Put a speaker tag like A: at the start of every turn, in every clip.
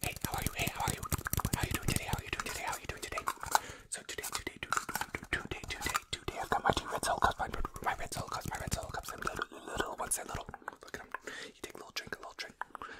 A: Hey, how are you? Hey, how are you? How are you doing today? How are you doing today? How are you doing today? So today, today, today, today, today, today, I've got my two red solo cups, my, my red solo cups, my red solo cups, and little, little ones, and little, look at them. You take a little drink, a little drink.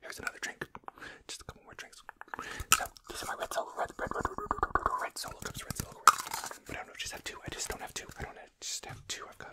A: Here's another drink. Just a couple more drinks. So these are my red solo, red, red, red, red, red, red, red solo cups, red solo cups. But I don't know, just have two. I just don't have two. I don't have, just have two. I've got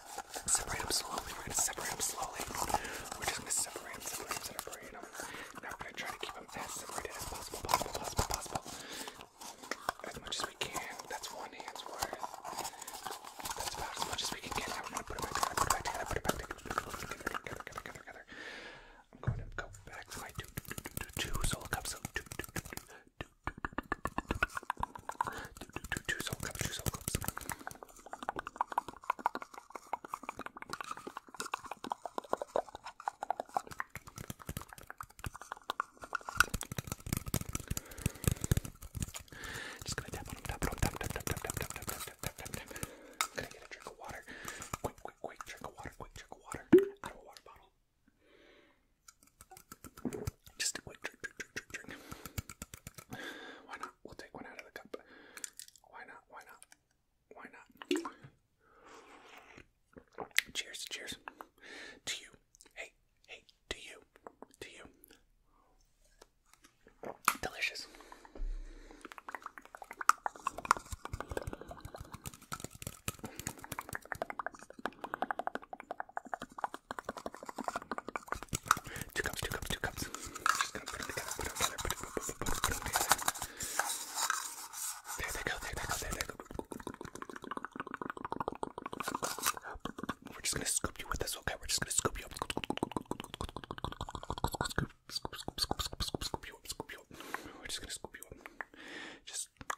A: separate them slowly. We're gonna separate them slowly. We're just gonna separate them, separate them, separate them. And now we're gonna try to keep them as separated as possible, possible, possible, possible. As much as we can. That's one hand's worth. That's about as much as we can get. Now we're gonna put it back together, put it back together, put it back together, together, together, together, together, together. I'm going to go back to my two, two, two, two, two, two solo cups. So two, two, two, two, Two soul cups, two soul cups. Just gonna tap on him, tap on him, tap, tap, tap, tap, tap, tap, tap, tap, tap, tap, tap. Gonna get a drink of water. Quick, quick, quick, drink of water, quick, drink of water. Out of a water bottle. Just a quick drink, drink, drink, drink, drink. Why not? We'll take one out of the cup. Why not? Why not? Why not? Cheers, cheers. To you. Hey, hey, to you. To you. Delicious. Two cups, two cups, two cups. Just gonna put it together, put it together, put it, put it, put it, put it together. There they go, there they go, there they go. We're just gonna scoop you with this, okay? We're just gonna scoop you up. Scoop, scoop, scoop, scoop, scoop, scoop, scoop you up, scoop you up. We're just gonna scoop you up. Just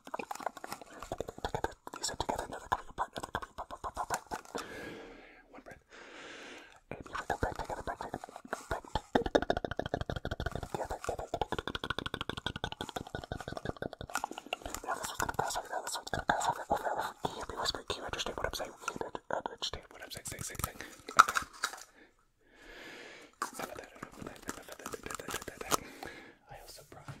A: These are together, now they're coming apart, now they're coming apart, apart, apart, apart. One breath. And you come back together, back together, back together, together. Now this one's gonna pass over, now this one's gonna pass over, over, over. Can you be whispering? Can you understand what I'm saying? Can you understand what I'm saying? Say, say, say. Okay. I also brought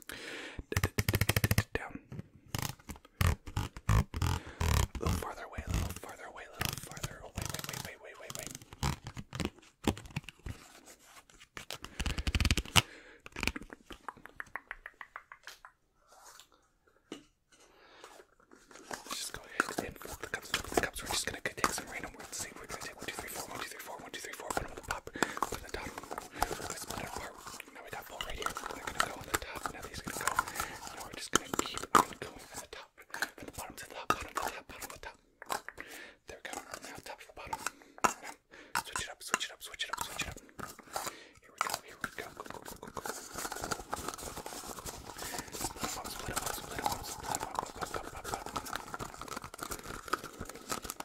A: Down. A little farther away, a little farther away, a little farther away. Wait, wait, wait, wait, wait, wait. just go ahead and fold the cups, the cups. We're just gonna take some random words. See, we're gonna take 3, 4, 1, 2, 4, 1, 3, 4, put them on the top. put them on the top this middle part. Now we got four right here. They're gonna go on the top. Now these are gonna go. Now we're just gonna keep on going from the top, from the bottom to the top, bottom to the top, bottom to the top. There we go. Now top to the bottom. Now, switch it up, switch it up, switch it up, switch it up. Here we go. Here we go. Go go go go go. Split them up, split them up, split them up, split them up, up, up, up, up, up.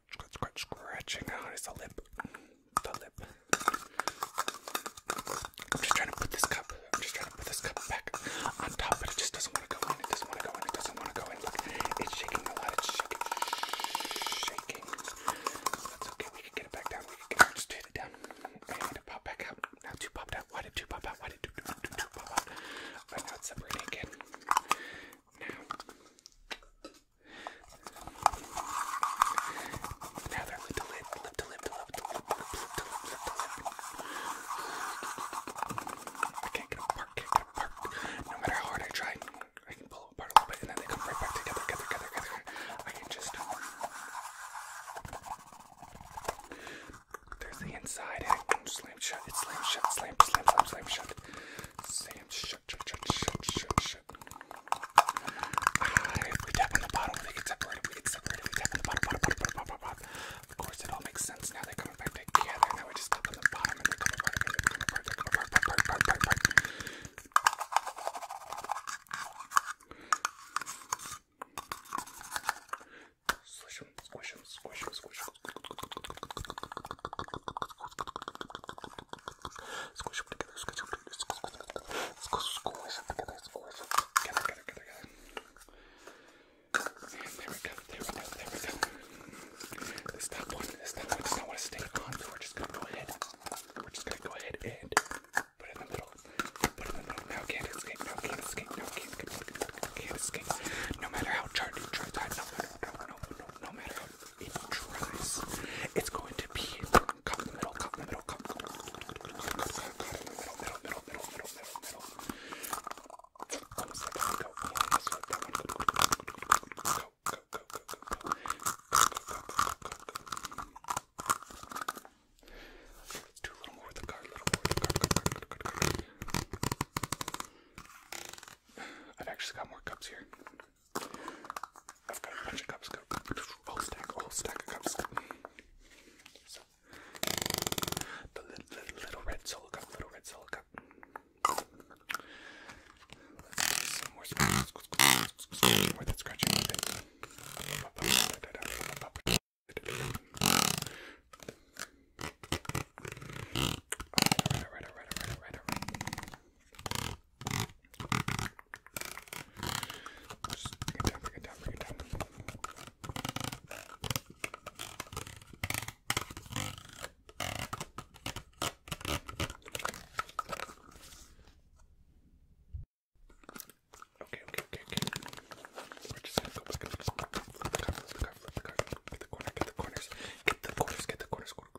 A: scratch, scratch, scratching out his lip. The lip. I'm just trying to put this cup. I'm just trying to put this cup back on top, but it just doesn't want to go in. It doesn't want to go in. It doesn't want to go in. Look, it's shaking a lot. It's shaking, shaking. That's okay. We can get it back down. We can get it. Just take it down back out. Now two popped out. Why did two pop out? Why did two, two, two, two pop out? Right now it's separating again. Now. Rather lip to lip, lip to lip to lip to lip, lip to lip, lip to lip. I can't get apart, can't get apart. No matter how hard I try, I can pull apart a little bit and then they come right back together, together, together, together. I can just. There's the inside and slam shut. It's slam shut, slam, slam, slam, slam shut. Slam shut shut, shut, shut, shut, shut, shut. Ah, we tap on the bottom, they get separated, we get separated, we tap on the bottom, bottom, bottom, bottom, bottom, bottom. Of course, it all makes sense now. They're coming back together. Now we just tap on the bottom and they come apart, and they come apart, they come apart, apart, apart, apart, apart. Squish them, squish them, squish them, squish them. Squish them together, squish them together, squish them together, squish them together, squish them together, together, together, together. And there we go, there we go, there we go. This top one, this top one does not want to stay on, so we're just gonna go ahead. We're just gonna go ahead and uh, put it in the middle. Put it in the middle. Now can't escape, now can't escape, now can't escape, can't escape. No matter how hard you try, no matter, no, no, no, no matter it's going to be cotton middle, cotton middle, cotton middle, cotton middle, middle, middle, middle, middle, middle, middle. Almost let that one go. Almost let that one go. Go, go, go, go, go, go. Go, go, go, go, go, go, go. Okay, let's do a little more with the card, a little more with the card, card, card, card, card, card. I've actually got more cups here. I've got a bunch of cups, whole stack, whole stack of cups. the little, red solo cup, little red solo cup. some more scratching. More that scratching Alright, alright, alright, alright, alright, alright. Just bring it down, bring it down, bring it down. Okay, okay, okay, okay. We're just gonna go back and forth, back and forth, back and forth, back get the corner, get the corners, get the corners, get the corners, corners,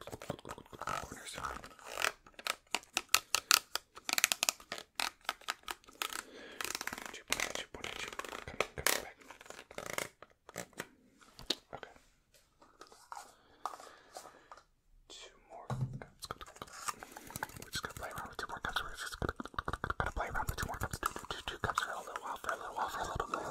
A: Two more. Let's go, We're just gonna play around with two more cups. We're just gonna, play around with two more cups for a little while, for a little while, for a little bit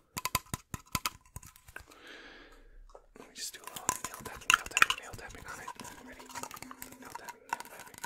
A: Let me just do a little nail tapping, nail tapping, nail tapping on it. Ready? Nail tapping, nail tapping.